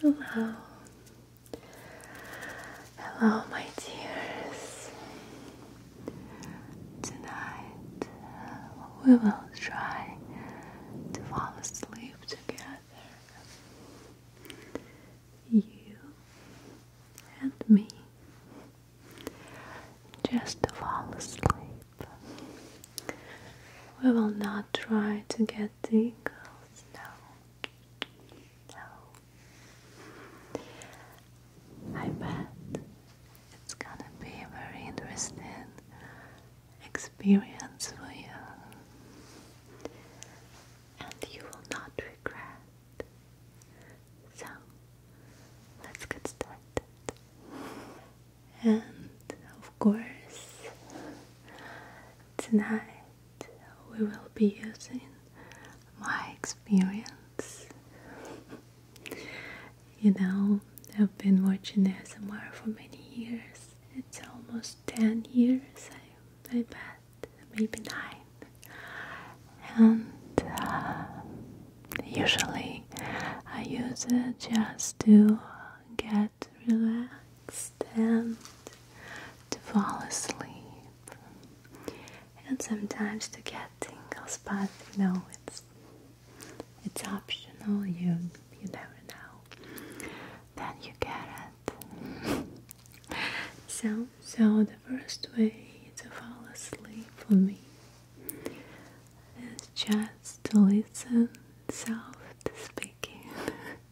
Hello, hello, my dears. Tonight we will try to fall asleep together. You and me. Just to fall asleep. We will not try to get the eagles, no. No. I bet it's gonna be a very interesting experience for you. And you will not regret. So, let's get started. And of course, tonight we will be using my experience. you know, I've been watching ASMR for many years. It's almost 10 years, I, bet, maybe 9. And uh, usually I use it just to get relaxed to fall asleep and sometimes to get tingles but you know it's it's optional you you never know then you get it so so the first way to fall asleep for me is just to listen soft speaking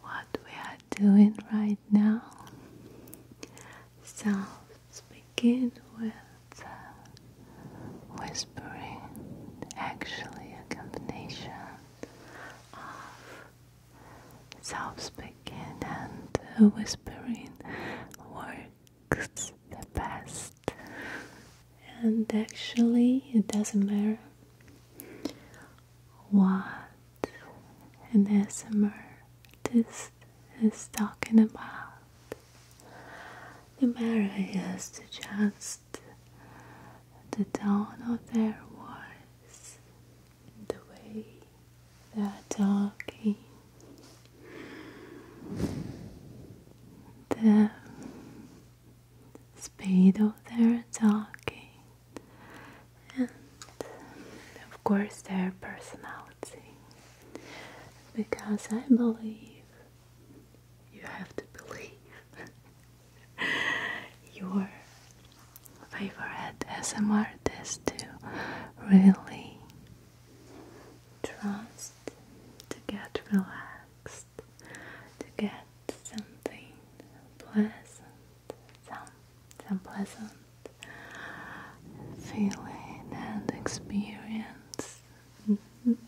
what we are doing right now. So let's begin with uh, whispering, actually, a combination of self speaking and whispering works the best and actually it doesn't matter what an ASMR this is talking about. The matter is just the tone of their voice, the way they are talking, the speed of their talking and of course their personality because I believe you have to believe your favorite SM artist to really trust to get relaxed to get something pleasant, some, some pleasant feeling and experience. And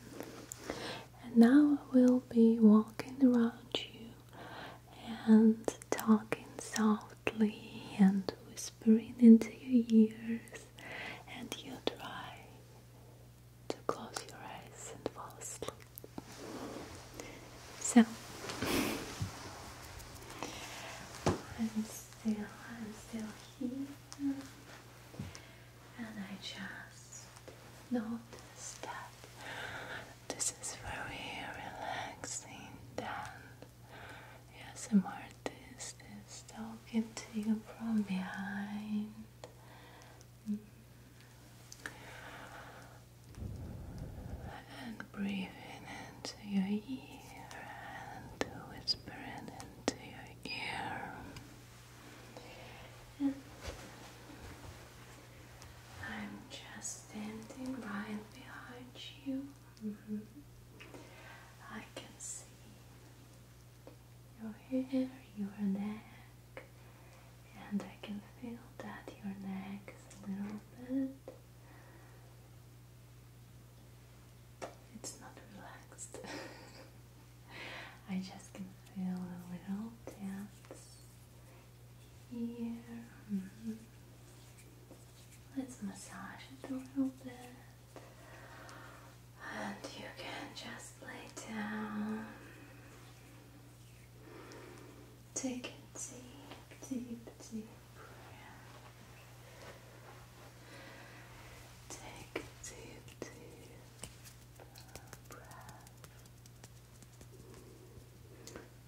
now I will be walking around you and talking softly and whispering into your ears, and you will try to close your eyes and fall asleep. So, I'm still, i still here, and I just notice that this is very relaxing. And yes, I'm artist is talking to you from behind. Mm. And breathing into your ear and whisper it into your ear. And I'm just standing right behind you. I can see you're your you're there and I can feel that your neck is a little bit it's not relaxed. I just can feel a little tense here. Mm Let's massage it a little bit, and you can just lay down. Take a deep, deep, deep breath. Take a deep, deep breath.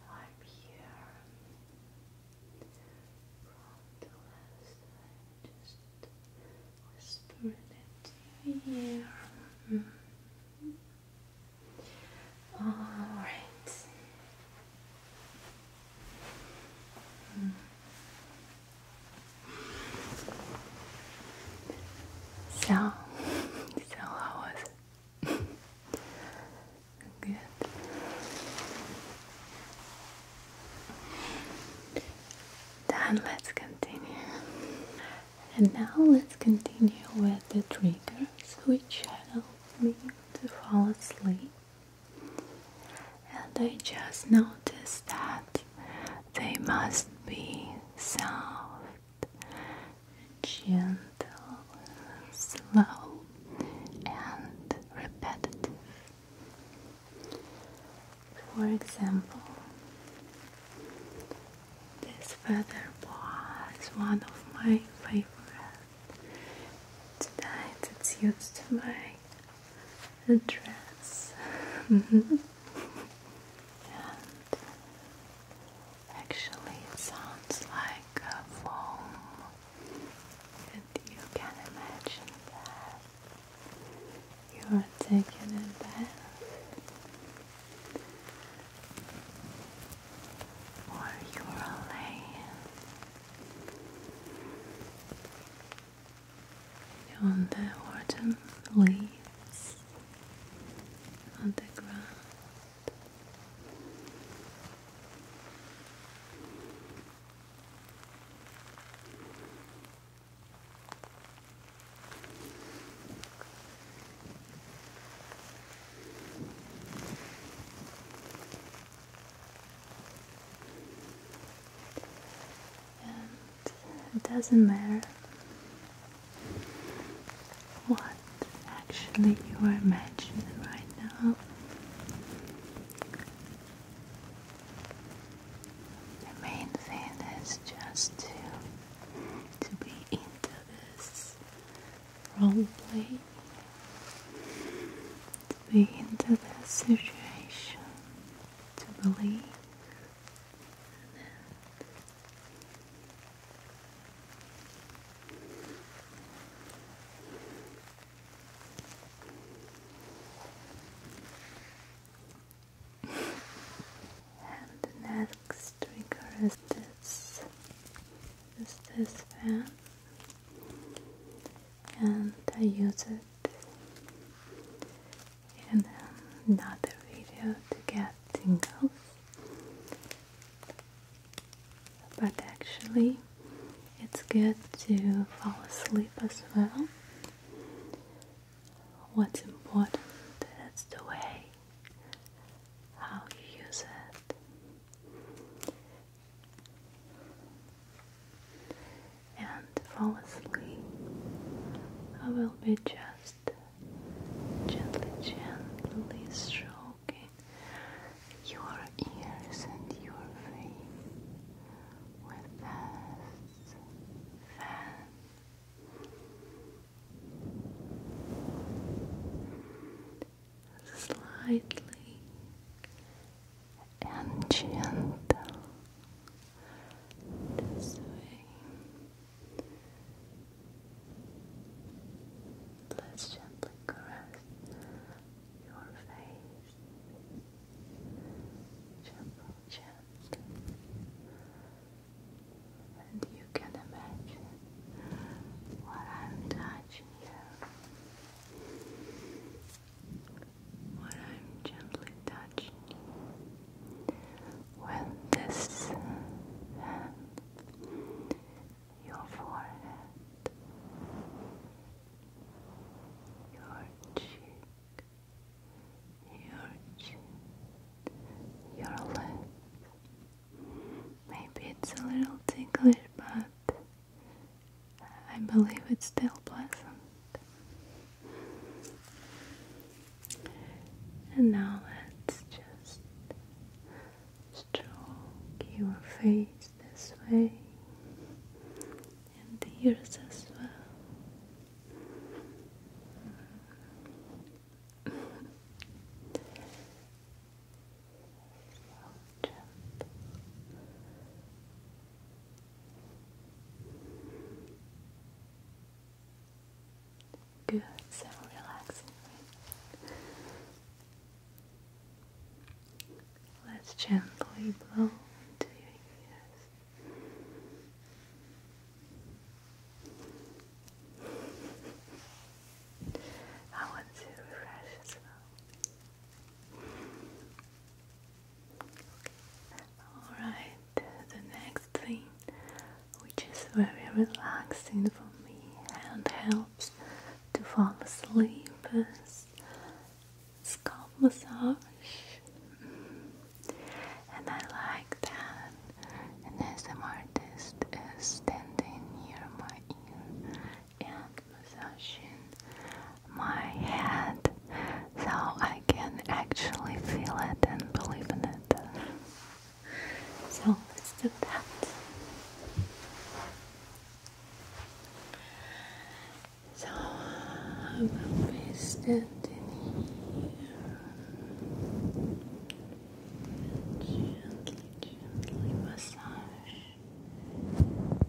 I'm here from the last time, just whispering it to your ear. All right. Hmm. So, so how was it? Good. Then let's continue. And now let's continue with the triggers which help me to fall asleep. And I just noticed that they must be soft, gentle, slow, and repetitive. For example, this feather boa is one of my favorite Tonight it's used to my dress. and actually, sounds like a foam. And you can imagine that you are taking a bath or your lay on the autumn leaves on the ground it doesn't matter what actually you are imagining right now. The main thing is just to to be into this role play, to be into this situation, to believe and next trigger is this, is this fan, and I use it in another video to get things tingles, but actually it's good to fall asleep as well. What's important is the way how you use it and fall asleep. I will be just gently, gently stroking your ears and your face with this fan slightly and gentle this way. Let's gently caress your face. Gentle, gentle and you can imagine what I'm touching you, what I'm gently touching you with this hand, your forehead, your cheek. Your chin, your lip, Maybe it's a little ticklish, but I believe it's still pleasant. And now let's just stroke your face this way and the ears as well. Good, so relaxing. Let's gently blow to your ears. I want to refresh as well. Alright, the next thing, which is very relaxing for me and helps to fall asleep, is scalp massage. And I like that and An SM artist is standing near my ear and massaging my head so I can actually feel it and believe in it. So let's do that. So I will be standing here gently, gently massage your head from that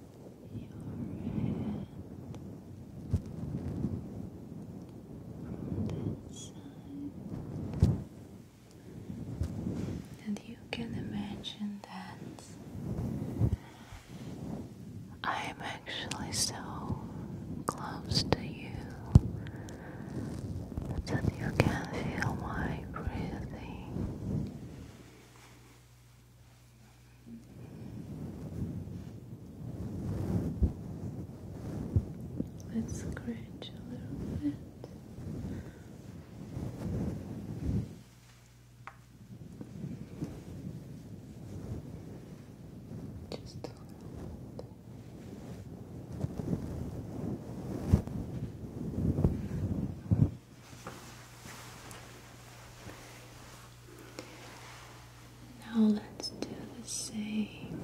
side. And you can imagine that I'm actually so close to you that you can feel my breathing. Let's scratch a little bit. Just a little bit. Now let's do the same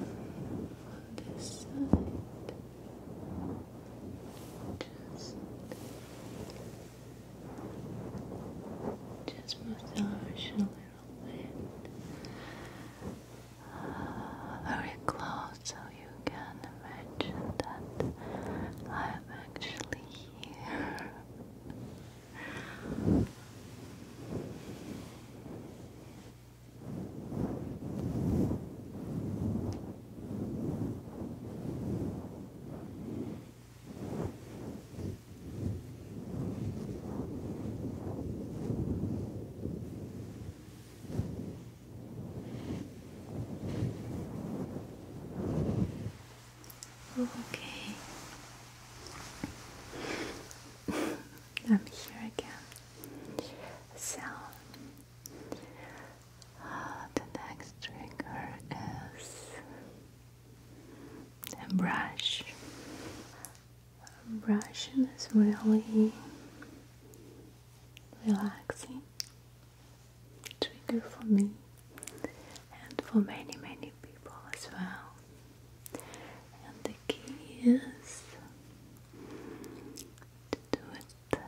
on this side. Just, just massage a little bit very close so you can imagine that I'm actually here. Okay. I'm here again. So ah, the next trigger is a brush brushing is really relaxing trigger for me and for many many people as well and the key is to do it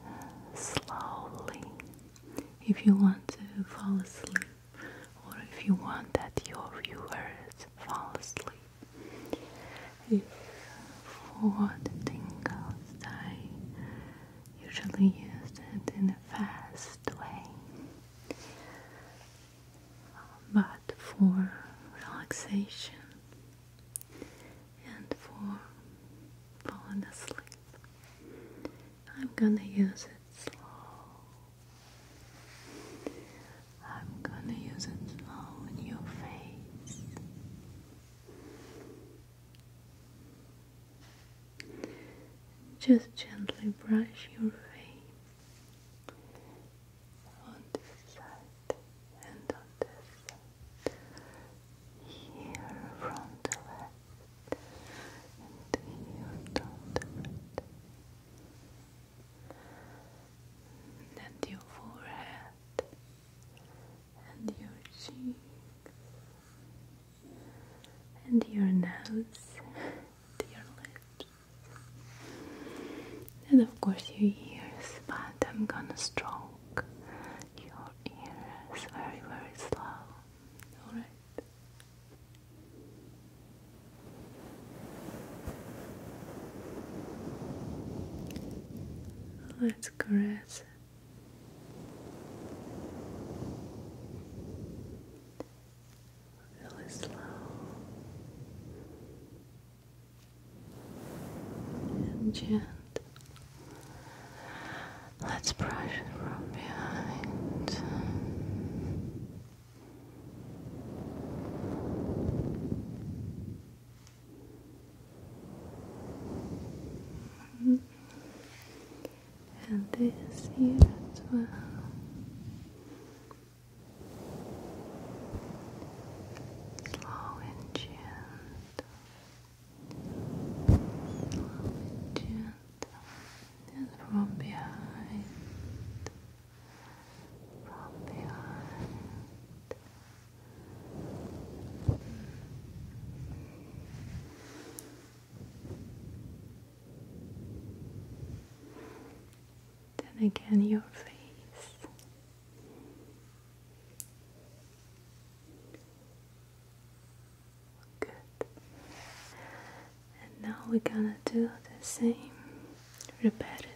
slowly if you want to fall asleep or if you want that your viewers fall asleep if for the tingles, I usually use it in a fast way, but for relaxation and for falling asleep, I'm gonna use it slow. I'm gonna use it slow in your face. Just gently brush your face on this side and on this side. Here from the left and here from the right. And your forehead and your cheeks and your nose and your lips and of course your ears but I'm gonna stroke your ears very very slow alright Let's caress Really slow. And gentle. Let's brush it from behind. And this year as well. Slow and gentle. Slow and gentle. And From behind. From behind. Then again, your face. Good. And now we're gonna do the same repetitive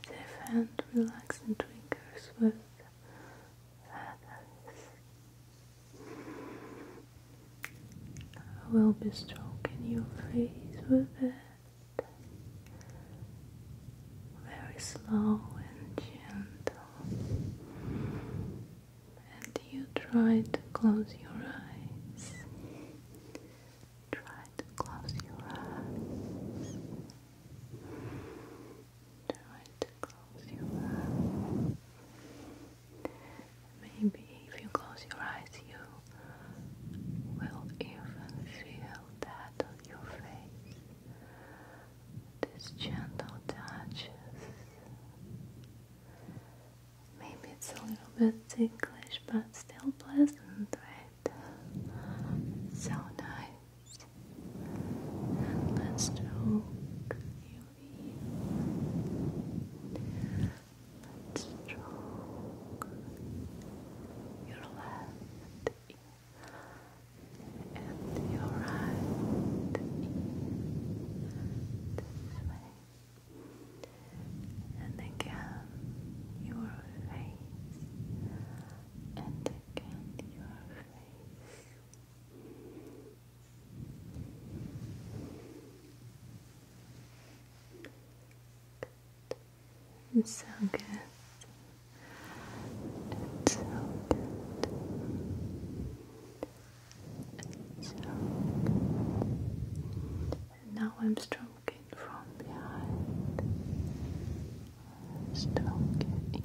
and relaxing triggers with I will be stroking your face with it very slow and gentle. And you try to close your eyes. Try to close your eyes try to close your eyes. Maybe if you close your eyes, you will even feel that on your face. These gentle touches. Maybe it's a little bit ticklish, but still pleasant, right? So nice and let's stroke you in. Let's stroke your left and your right and again your face, and again your face. It's so good. It's so good. It's so good. now I'm stroking from behind. Stroking